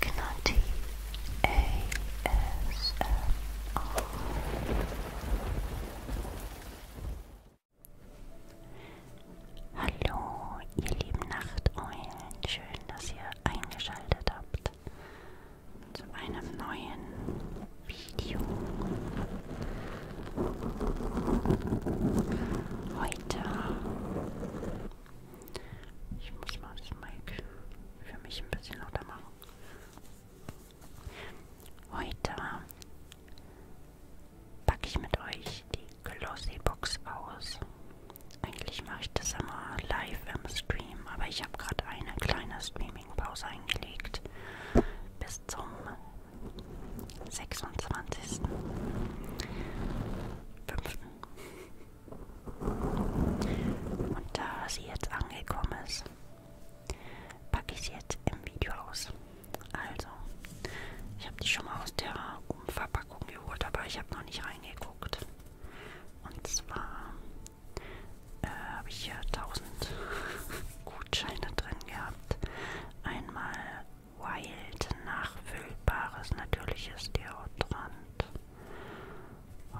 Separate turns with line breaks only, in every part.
Gnati ASMR. Hallo, ihr lieben Nachteulen, schön, dass ihr eingeschaltet habt zu einem neuen Video. Heute ich muss mal das Mic für mich ein bisschen lauter machen. Heute packe ich mit euch die Glossy Box aus. Eigentlich mache ich das immer live im Stream, aber ich habe gerade eine kleine Streaming-Pause eingelegt. Bis zum 26.05. Und da sie jetzt angekommen ist, packe ich sie jetzt im Video aus. Also, ich habe die schon mal aus der Umverpackung geholt, aber ich habe noch nicht reingeguckt. Und zwar äh, habe ich hier 1000 Gutscheine drin gehabt. Einmal Wild nachfüllbares natürliches Deodorant.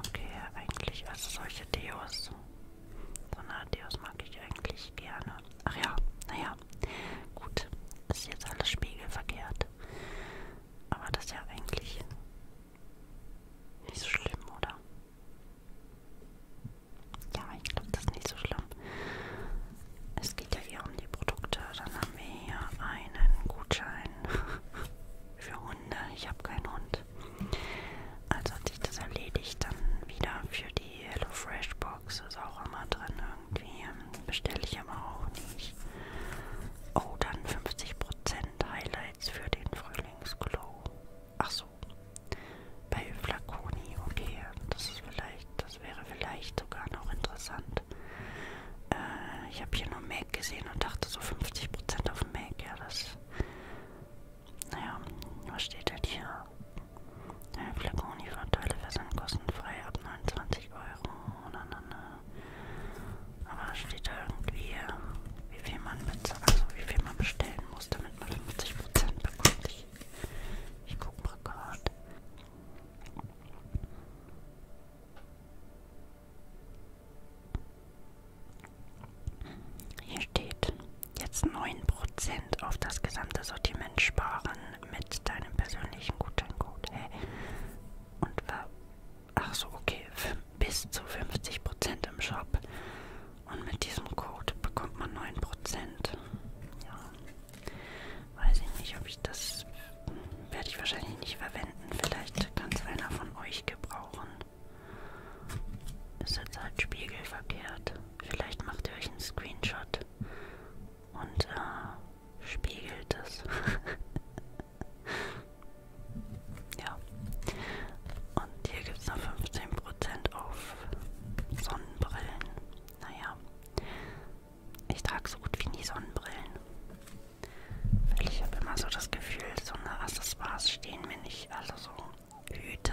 Okay, eigentlich, also solche Deos. So eine Deos mag ich eigentlich gerne. Ach ja, naja, gut. Ist jetzt alles spiegelverkehrt. Aber das ist ja eigentlich nicht so schlimm, oder? Ja, ich glaube, das ist nicht so schlimm. Es geht ja eher kommen die Produkte. Dann haben wir hier einen Gutschein für Hunde. Ich habe keinen Hund. Also hat sich das erledigt. Dann wieder für die HelloFresh Box ist auch immer drin irgendwie. Bestelle ich aber auch nicht. Oh, dann 50% Highlights für den Frühlingsglow. Ach so. Bei Flaconi, okay. Das ist vielleicht, das wäre vielleicht sogar noch interessant. Prozent. Äh, ich habe hier nur Mac gesehen und dachte so 50 Prozent auf Mac. Ja, das. Naja, was steht denn hier? Ja, Flakoni-Vorteile versand kostenfrei ab 29 Euro. Na, na, na. Aber steht da irgendwie, wie viel man bezahlt, also wie viel man bestellen muss, damit man 50% bekommt. Ich, ich guck mal gerade. Hier steht jetzt 9% auf das gesamte Sortiment sparen mit deinem persönlichen Gutscheincode. Hey. Und war, ach so, okay, bis zu 50% im Shop. Und mit diesem Code bekommt man 9%. Ja. Weiß ich nicht, ob ich das werde ich wahrscheinlich nicht verwenden. Vielleicht kann es einer von euch gebrauchen. Ist jetzt halt spiegelverkehrt. Vielleicht macht ihr euch einen Screenshot und äh, spiegelt es. ja. Und hier gibt es noch 15% auf Sonnenbrillen. Naja. Ich trage so gut wie nie Sonnenbrillen. Weil ich habe immer so das Gefühl, so eine Accessoires stehen mir nicht. Also so Hüte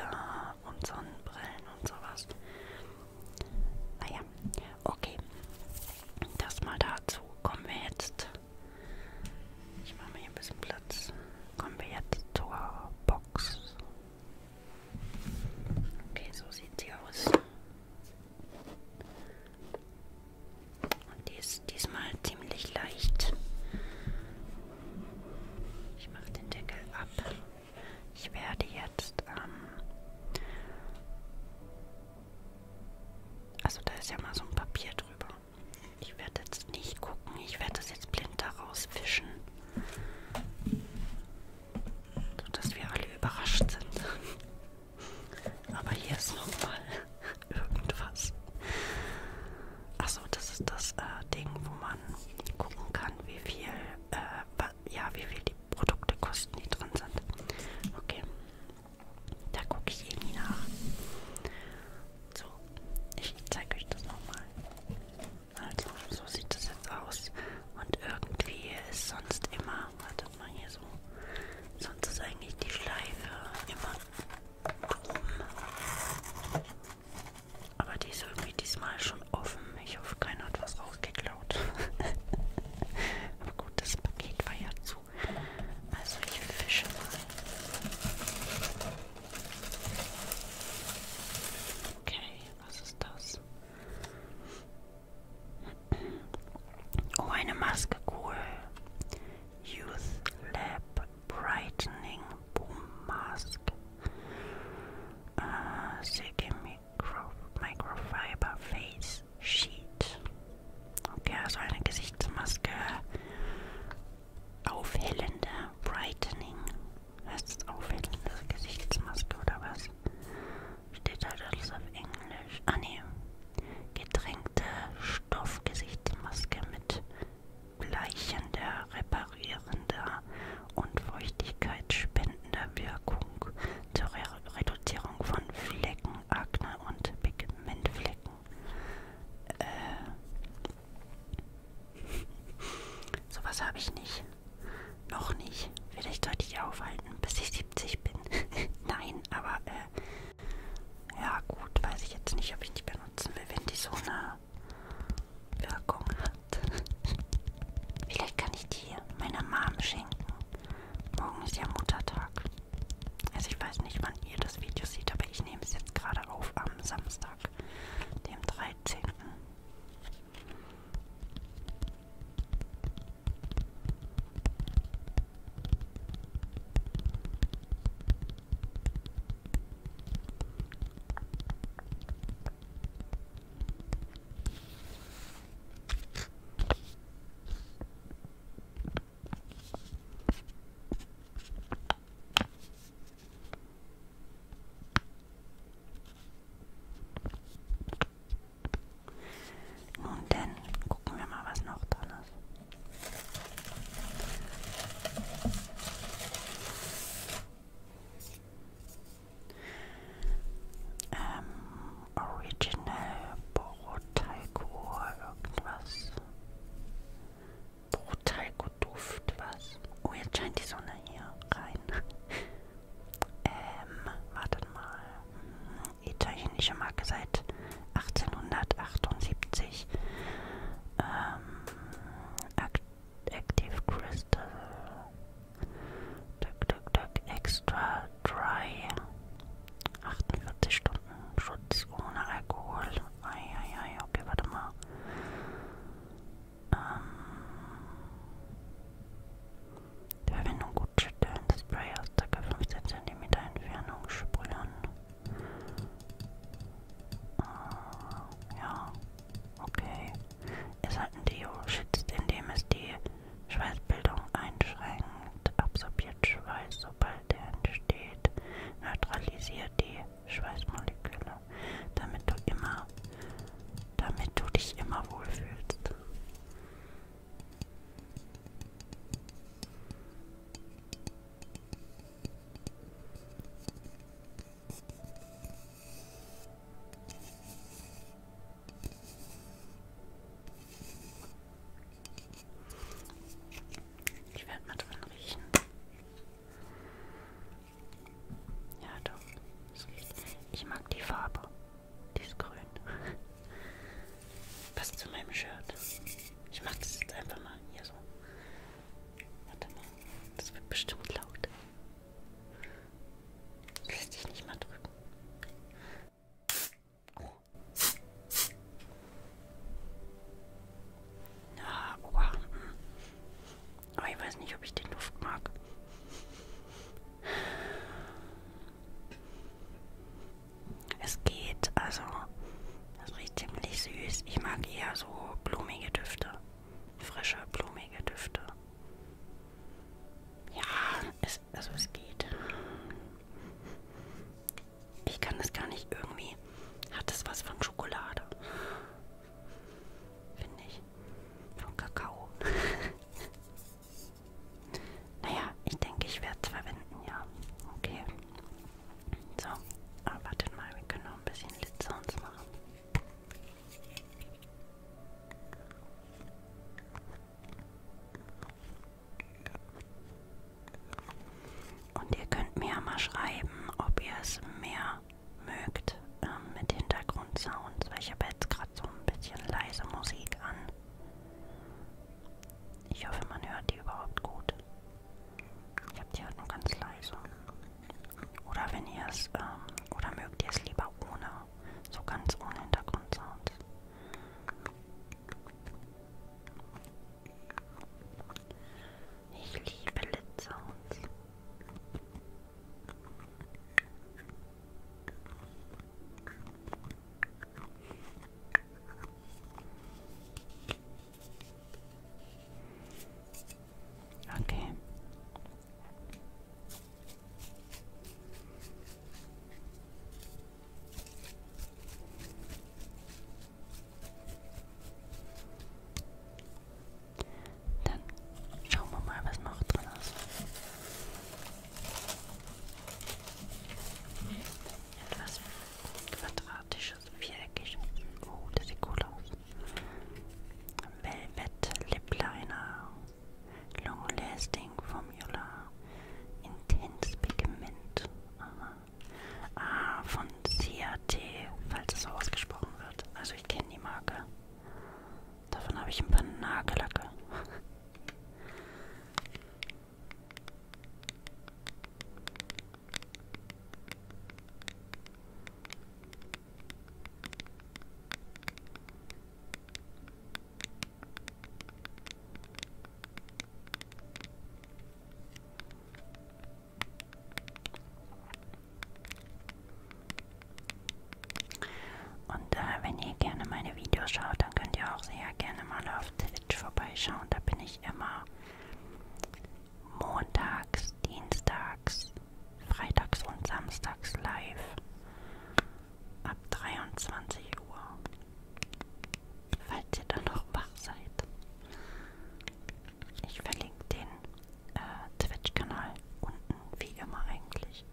und Sonnenbrillen und sowas. Naja, okay. Das mal dazu. Kommen wir jetzt. Ich mache mir hier ein bisschen Platz. Kommen wir jetzt zur Box. Okay, so sieht sie aus. Und die ist diesmal ziemlich leicht. Ich mache den Deckel ab. Ich werde jetzt, ähm, also da ist ja mal so ein Papier drüber. Ich werde jetzt nicht gucken, ich werde das jetzt blind daraus fischen. So dass wir alle überrascht sind. Aber hier ist nochmal irgendwas. Achso, das ist das äh, Ding, wo man gucken kann, wie viel, äh, ja, wie viel die Produkte kosten, die drin sind. Okay, da gucke ich eh nie nach. So, ich zeige euch das nochmal. Also, so sieht das jetzt aus. Und irgendwie ist sonst immer, warte, guck mal hier so. Sonst ist eigentlich die Schleife immer drum. Aber die ist irgendwie diesmal schon offen. Ich hoffe, keiner hat was rausgeklaut. Aber gut, das Paket war ja zu. Also ich fische mal. Okay, was ist das? Hm. Oh, eine Maske, cool. Youth Lab Brightening Boom Mask. Uh, Silke Micro Microfiber Face Sheet. Okay, also eine Gesichtsmaske. Aufhellende Brightening. Heißt es aufhellende Gesichtsmaske oder was? Steht halt alles auf Englisch. Ah ne, gedrängte Stoffgesichtsmaske mit bleichender, reparierender und feuchtigkeitsspendender Wirkung zur Re Reduzierung von Flecken, Akne und Pigmentflecken. Äh, sowas habe ich nicht. Noch nicht. Vielleicht sollte ich aufhalten, bis ich sie 70 bin. Nein, aber äh, ja gut, weiß ich jetzt nicht, ob ich die benutzen will, wenn die so eine Wirkung hat. Vielleicht kann ich die meiner Mom schenken. Morgen ist ja Muttertag. Also ich weiß nicht, wann ihr das Video seht, aber ich nehme es jetzt gerade auf am Samstag, dem 13. Nun denn, gucken wir mal, was noch dran ist. Ähm, Original Borotaiko irgendwas. Borotaiko Duft was. Oh, jetzt scheint die Sonne hier rein. Ähm, wartet mal. Mhm italienische Marke seit 1878. Ähm, Active Crystal. Duck, duck, duck, extra Dry. 48 Stunden Schutz ohne Alkohol. Eieiei, okay, warte mal. Ähm, Verwendung gut Sternspray aus ca. 15 cm Entfernung sprühen. Äh, ja, okay. Es hat ein Deo, schützt, indem es die Schweißbildung einschränkt, absorbiert Schweiß, sobald er entsteht, neutralisiert die Schweißmoleküle, damit du immer, damit du dich immer wohlfühlst. Ich werde mal dran riechen. Ja, doch. Ich mag die Farbe. Die ist grün. Passt zu meinem Shirt. Ich mach das jetzt einfach mal hier so. Warte mal. Das wird bestimmt laut. Lässt dich nicht mal drücken. Oh. Ja, oha. Aber ich weiß nicht, ob ich den Duft mag. Es geht, also es riecht ziemlich süß. Ich mag eher so blumige Düfte. Frische, blumige Düfte. Ja, es, also es geht. Ich kann das gar nicht irgendwie. Hat das was von Schokolade? Finde ich. Von Kakao. Naja, ich denke, ich werde es verwenden, ja. Okay. So, aber ah, wartet mal, wir können noch ein bisschen Lid Sounds machen. Und ihr könnt mir ja mal schreiben, ob ihr es mehr mögt ähm, mit Hintergrundsounds, weil ich habe jetzt gerade so ein bisschen leise Musik an. Ich hoffe, man hört die überhaupt gut. Ich habe die halt nur ganz leise. Oder wenn ihr es, ähm, oder mögt ihr es lieber ohne, so ganz ohne Hintergrundsound. Ich liebe Lit-Sounds. Okay. Dann schauen wir mal, was noch drin ist. Etwas Quadratisches, viereckiges. Oh, das sieht cool aus. Velvet Lip Liner. Long Lasting Formula. Intense Pigment. Aha. Ah, von CRT, falls es so ausgesprochen wird. Also ich kenne die Marke. Davon habe ich ein paar Nagellacke. Und äh, wenn ihr gerne meine Videos schaut, dann könnt ihr auch sehr gerne mal auf Twitch vorbeischauen. Da bin ich ich immer montags, dienstags, freitags und samstags live ab 23 Uhr. Falls ihr dann noch wach seid. Ich verlinke den äh, Twitch-Kanal unten, wie immer eigentlich.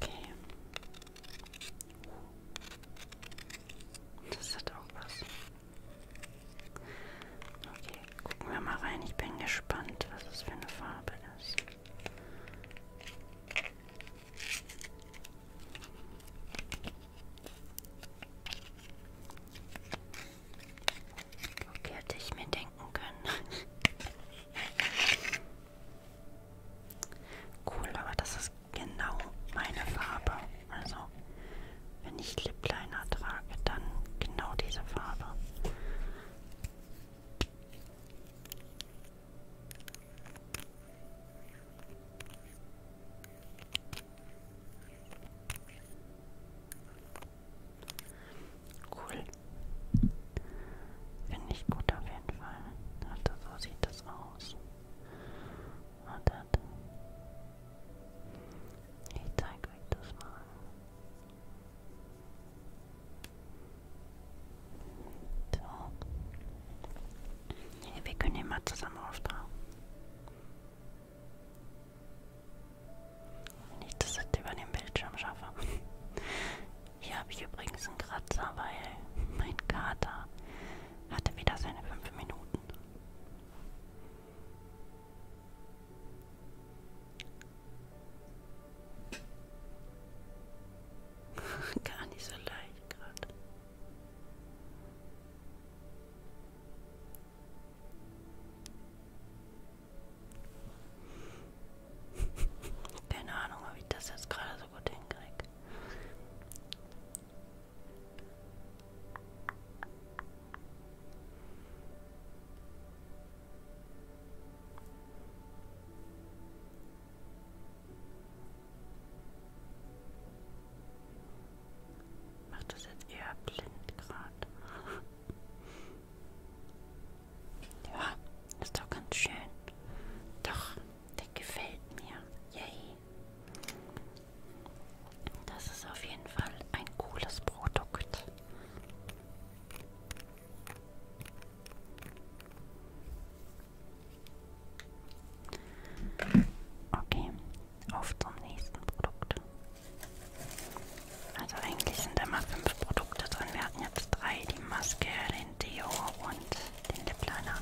Okay. Das hat auch was. Okay, gucken wir mal rein. Ich bin gespannt, was es für eine Farbe ist. Okay, hätte ich mir denken können. cool, aber das ist genau meine Farbe. Also wenn ich Lippliner trage, dann genau diese Farbe. Cool. Finde ich gut auf jeden Fall. Also so sieht das aus. Und das. Ich zeige euch das mal. So. Hey, wir können ihn mal zusammen auftragen. Wenn ich das jetzt über den Bildschirm schaffe. Hier habe ich übrigens einen Kratzer, weil mein Kater hatte wieder seine 5 Minuten. Gar nicht so leicht gerade. Keine Ahnung, ob ich das jetzt gerade so gut hinkriege. Macht das jetzt eher blind gerade. ja, ist doch ganz schön. Doch, der gefällt mir. Yay. Das ist auf jeden Fall ein cooles Produkt. Okay, auf zum nächsten Produkt. Also eigentlich sind immer fünf Produkte drin. Wir hatten jetzt drei, die Maske, den Deo und den Lip Liner.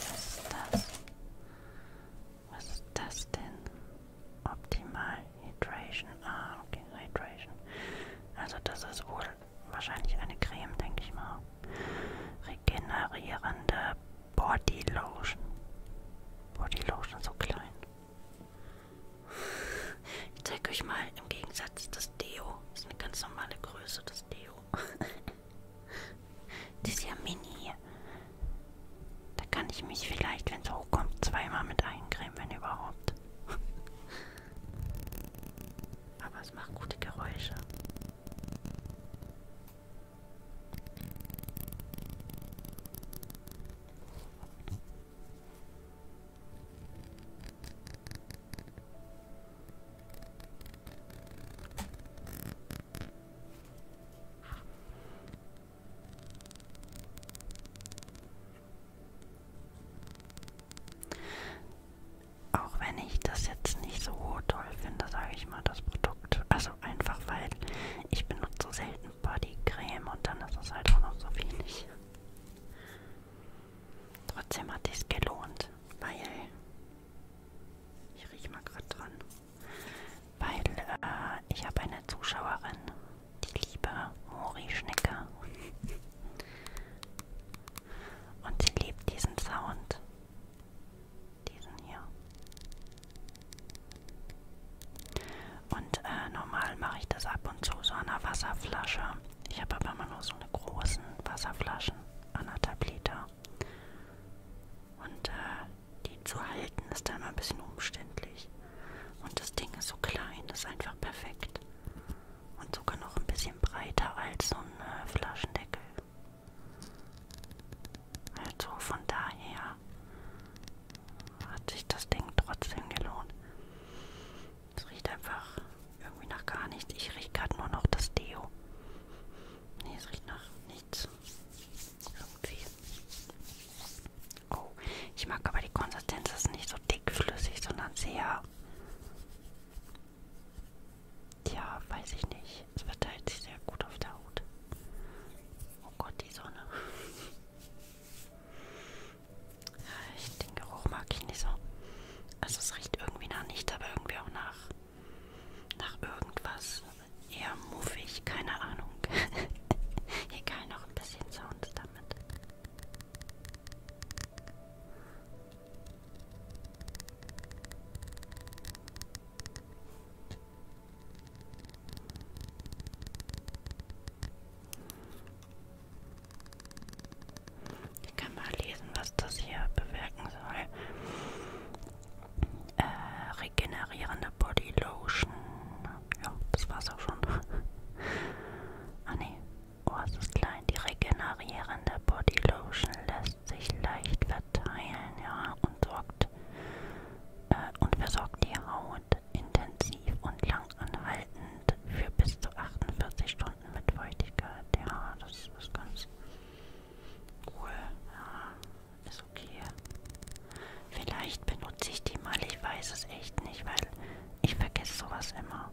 Was ist das? Was ist das denn? Optimal Hydration. Ah, okay, Hydration. Also das ist wohl wahrscheinlich eine Creme, denke ich mal. Regenerierende Body Lotion. Body Lotion so klein. Ich zeige euch mal im Gegensatz das Deo. Das ist eine ganz normale Größe, das Deo. Die ist ja mini. Da kann ich mich vielleicht, wenn es hochkommt, zweimal mit eincremen, wenn überhaupt. Aber es macht gute Geräusche. Auch wenn ich das jetzt nicht so toll finde, sage ich mal, das Produkt. Also einfach, weil ich benutze selten Bodycreme und dann ist es halt auch noch so wenig. Trotzdem hat es gelohnt, weil ich rieche mal gerade dran weil äh, ich habe eine Zuschauerin, die liebe Mori Schnecker. Und sie liebt diesen Sound. Diesen hier. Und äh, normal mache ich das ab und zu so an einer Wasserflasche. Ich habe aber immer nur so eine großen Wasserflaschen, anderthalb Liter. Und äh, die zu halten ist da immer ein bisschen umständlich. Und das Ding ist so klein, ist einfach perfekt. Und sogar noch ein bisschen breiter als so ein äh, Flaschendeckel. Also von daher hat sich das Ding trotzdem gelohnt. Es riecht einfach irgendwie nach gar nichts. Ich rieche gerade nur noch das Deo. Nee, es riecht nach nichts. Irgendwie. Oh, ich mag aber die Konsistenz ist nicht so dickflüssig, sondern sehr. Tja, weiß ich nicht. Es verteilt halt sich sehr gut auf der Haut. Oh Gott, die Sonne. Ich den Geruch mag ich nicht so. Also es riecht irgendwie nach nichts, aber irgendwie auch nach nach irgendwas. Eher muffig, keine Ahnung. Egal, noch ein bisschen Sound damit. Ich kann mal lesen, was das hier bewirken soll äh, regenerierende Body Lotion. Ja, das war's auch schon. ah ne, oh, es ist klein. Die regenerierende Body Lotion lässt sich leicht verteilen, ja, und sorgt äh, und versorgt die Haut intensiv und langanhaltend für bis zu 48 Stunden mit Feuchtigkeit. Ja, das ist ganz cool. Ja. Ist okay. Vielleicht benutze ich die mal, ich weiß es echt nicht, weil ich vergesse sowas immer.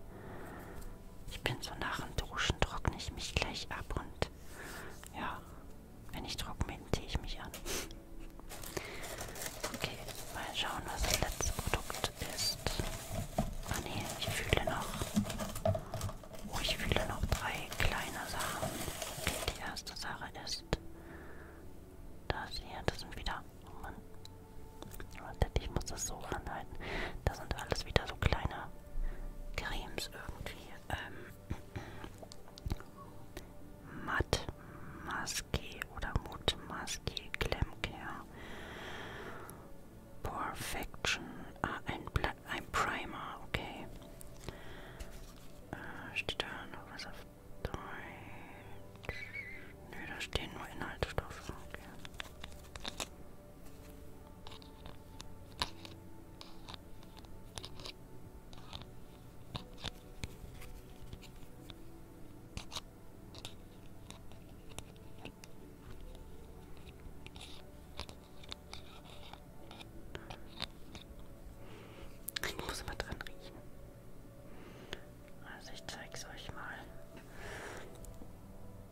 Ich bin so nach dem Duschen, trockne ich mich gleich ab und ja, wenn ich trocken bin, ziehe ich mich an. Okay, mal schauen, was das letzte Produkt ist. Ah ne, ich fühle noch. Oh, ich fühle noch drei kleine Sachen. Die erste Sache ist das hier. Das sind wieder. Oh Mann. Wartet, ich muss das so ranhalten. Das sind alles wieder so kleine Cremes irgendwie. Ähm, Matt Maske oder Mut Maske Klemmkehr. Perfection. Ah, ein Bla ein Primer, okay. Äh, steht da noch was auf Deutsch? Nö, da stehen nur Inhaltsstoffe, okay. Ich muss immer dran riechen. Also ich zeig's euch mal.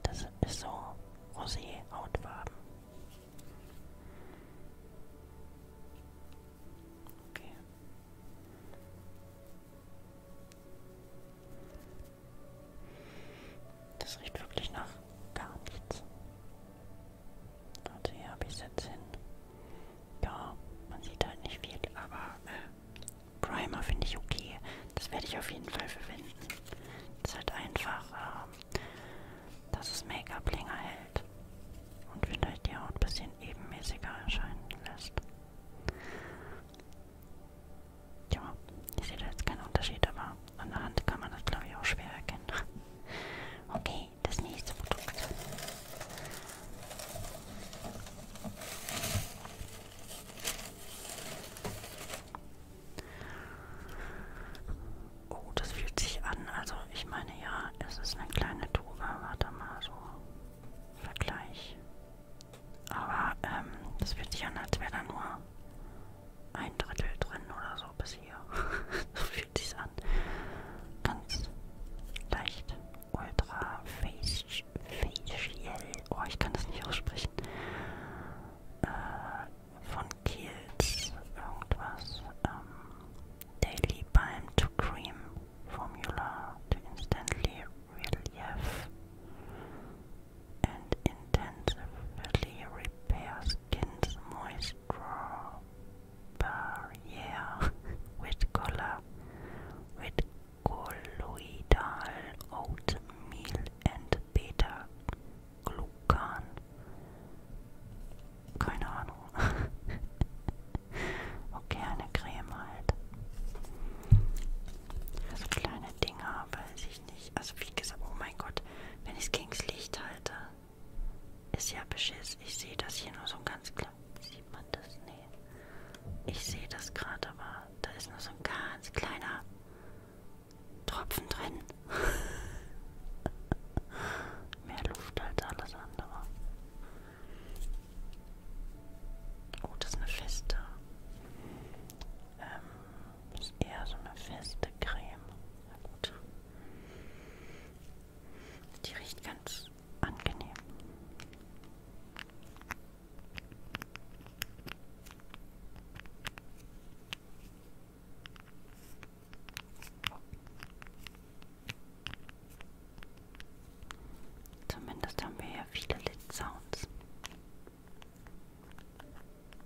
Das ist so Rosé-Hautfarben. Okay. Das riecht wirklich nach gar nichts. Also hier habe ich es jetzt hin. Ja, man sieht halt nicht viel, aber äh, Primer finde ich okay. Das werde ich auf jeden Fall verwenden. Es ist halt einfach, äh, dass es Make-up länger hält und vielleicht die Haut ein bisschen ebenmäßiger erscheinen lässt. Ja, ich sehe da jetzt keinen Unterschied, aber an der Hand kann man das glaube ich auch schwer erkennen. Okay, das nächste Produkt. Oh, das fühlt sich an. Also ich meine ja, es ist eine kleine Tube. Warte mal so. Vergleich. Aber ähm, das fühlt sich an, als wäre da nur ein Drittel drin oder so bis hier. so fühlt sich's an. Ganz leicht ultra facial. Oh, ich kann das nicht aussprechen. Äh, von Kiehl's irgendwas. Ähm, Daily Balm to Cream Formula to instantly relieve and intensively repair skin's moist raw barrier with color, with colloidal oatmeal and beta glucan. Keine Ahnung. okay, eine Creme halt. So also kleine Dinger, weiß ich nicht. Also wie gesagt, oh mein Gott, wenn ich es gegen das Licht halte. Ist ja beschiss. Ich sehe das hier nur so ganz klein. Sieht man das? Nee. Ich sehe das gerade, aber da ist nur so ein ganz kleiner Tropfen drin. Mehr Luft als alles andere. Oh, das ist eine feste. Ähm, ist eher so eine feste Creme. Na gut. Die riecht ganz angenehm. Zumindest haben wir ja viele Lit-Sounds.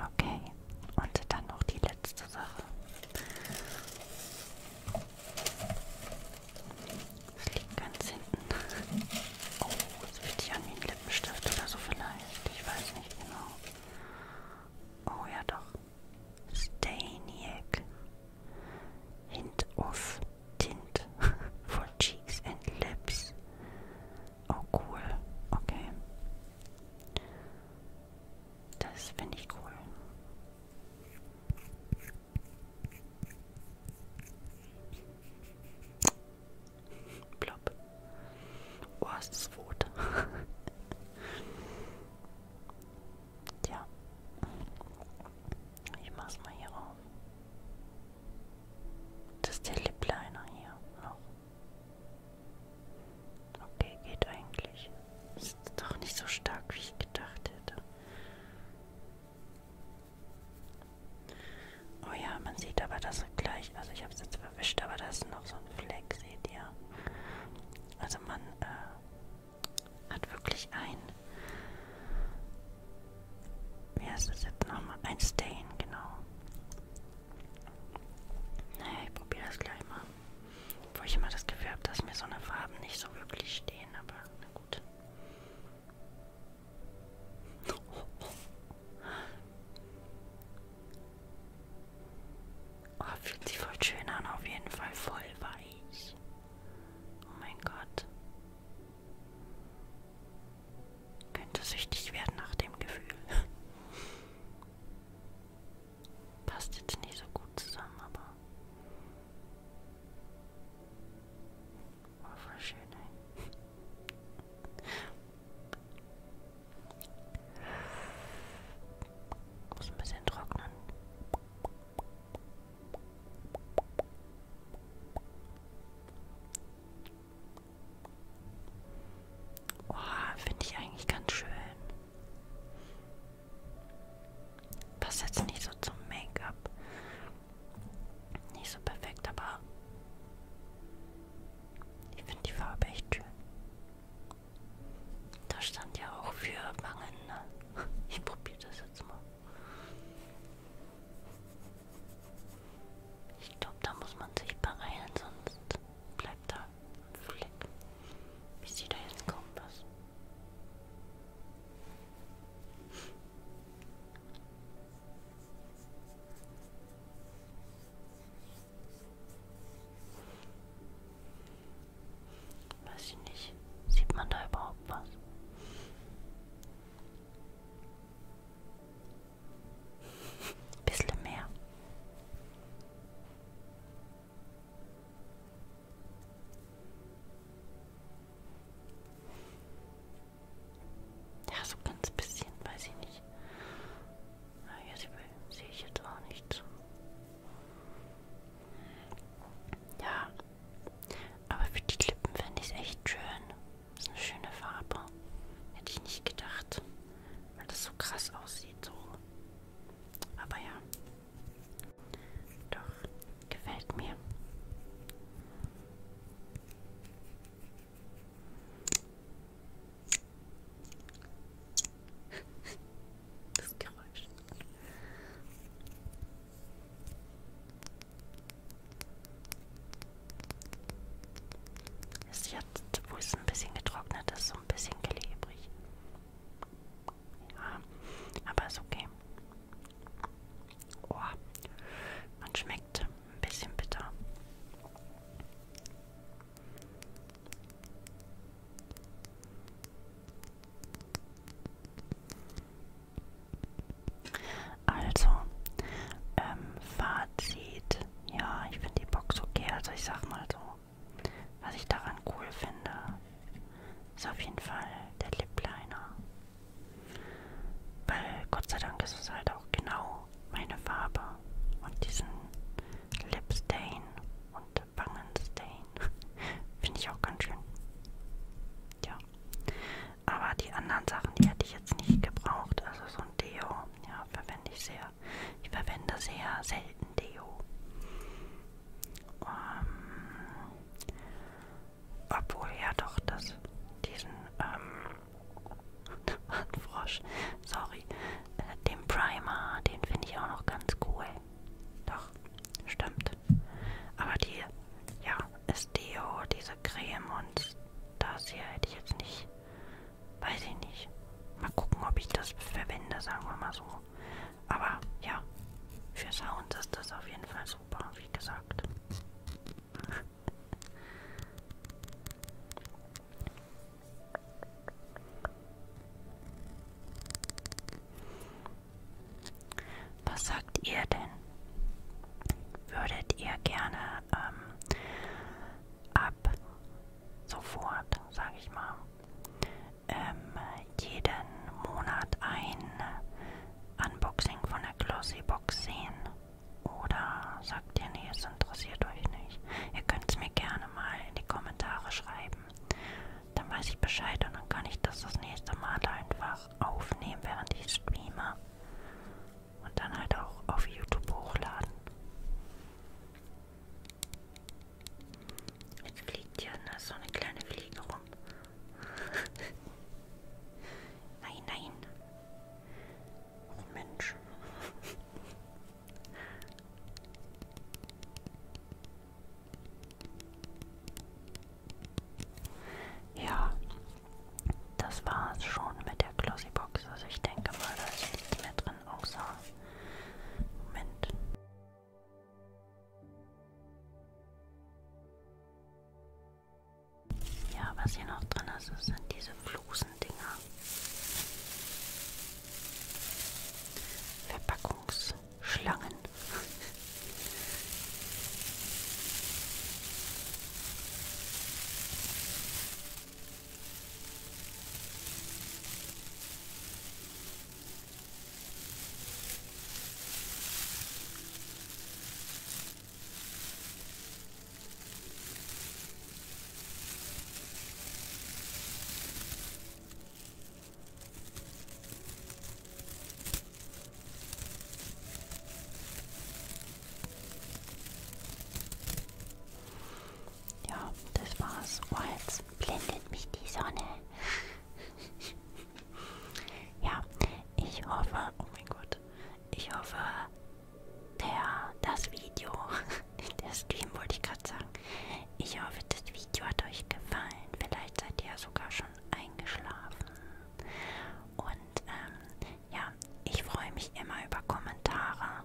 Okay, und dann noch die letzte Sache. Das liegt ganz hinten. Oh, das fühlt sich an wie ein Lippenstift oder so vielleicht. Ich weiß nicht genau. Oh ja doch. Staniak. Hint of Tint for Cheeks and Lips. Oh cool. Okay. Das finde ich cool. Plopp. Oh, es ist rot. Tja. Ich mach's mal hier auf. Das ist der Lip Liner hier noch. Okay, geht eigentlich. Ist doch nicht so stark, wie ich gedacht hätte. Oh ja, man sieht aber das gleich. Also ich habe es jetzt verwischt, aber da ist noch so ein Fleck, seht ihr. Also man äh, hat wirklich ein... Wie heißt das jetzt nochmal? Ein Stain, genau. Naja, ich probiere das gleich mal. Wo ich immer das Gefühl habe, dass mir so eine Farben nicht so wirklich stehen, aber na gut. Oh, oh, oh. oh, fühlt sich voll schön an, auf jeden Fall voll weich. Oh mein Gott. Könnte süchtig werden nach dem Gefühl. Passt jetzt nicht so gut zusammen, aber war voll schön, ey. Muss ein bisschen trocknen. Oh, finde ich eigentlich ganz schön. Passt jetzt nicht so zum Make-up. Nicht so perfekt, aber ich finde die Farbe echt schön. Da stand ja auch für Wangen. Ne? Ich probiere das jetzt mal. Ich glaube, da muss man sich beeilen, sonst bleibt da Flick. Ich sehe da jetzt kaum was. Weiß ich nicht. Sieht man da überhaupt was? Bisschen mehr. Ja, so ganz bisschen, weiß ich nicht. Na ah, ja, sehe ich jetzt auch nicht so. Ja, aber für die Klippen fände ich es echt schön. Das ist eine schöne Farbe. Hätte ich nicht gedacht, weil das so krass aussieht, so aber ja. Doch, gefällt mir. Das Geräusch. Es ist jetzt, wo es ein bisschen getrocknet ist, so ein bisschen klebrig. Ja, aber ist okay. Oh, man schmeckt ein bisschen bitter. Also, ähm, Fazit. Ja, ich finde die Box okay. Also ich sag mal so, was ich daran cool finde, ist auf jeden Fall der Lip Liner. Weil Gott sei Dank ist es halt auch genau meine Farbe und diesen Lip Stain und Wangenstain finde ich auch ganz schön. Ja. Aber die anderen Sachen, die hätte ich jetzt nicht gebraucht. Also so ein Deo, ja, verwende ich sehr ich verwende sehr selten Deo. Um, ähm, obwohl ja doch das diesen ähm, Frosch, sorry, äh, den Primer, den finde ich auch noch ganz cool. Doch, stimmt. Aber die, ja, ist Deo, diese Creme und das hier hätte ich jetzt nicht Weiß ich nicht. Mal gucken, ob ich das verwende, sagen wir mal so. Aber ja, für Sound ist das auf jeden Fall super, wie gesagt. Was sagt ihr denn? Würdet ihr gerne ähm, ab sofort, sage ich mal, ähm, jeden Monat ein Unboxing von der Glossy Box sehen. Oder sagt ihr, nee, es interessiert euch nicht. Ihr könnt es mir gerne mal in die Kommentare schreiben. Dann weiß ich Bescheid und dann kann ich das das nächste Mal einfach aufnehmen, während ich streame. Und dann halt auch auf YouTube hochladen. Jetzt fliegt hier na, so eine kleine Fliege rum. nein, nein. Oh Mensch. ja, das war's schon mit der Glossybox. Also ich denke mal, da ist nichts mehr drin außer Moment. Ja, was hier noch drin ist, das sind diese Flusendinger. Verpackungsschlangen. Ja, das war's. War jetzt blendet mich die Sonne. ja, ich hoffe, oh mein Gott, ich hoffe, der, das Video, der Stream wollte ich gerade sagen, ich hoffe, das Video hat euch gefallen. Vielleicht seid ihr ja sogar schon eingeschlafen. Und ähm, ja, ich freue mich immer über Kommentare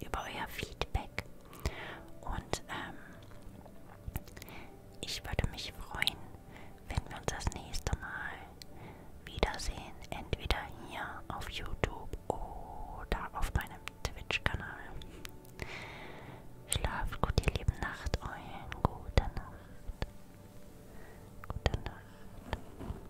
über euer Feedback. Und ähm, ich würde mich freuen, wenn wir uns das nächste Mal wiedersehen. Entweder hier auf YouTube oder auf meinem Twitch-Kanal. Schlaft gut, ihr lieben Nacht, euren gute Nacht. Gute Nacht.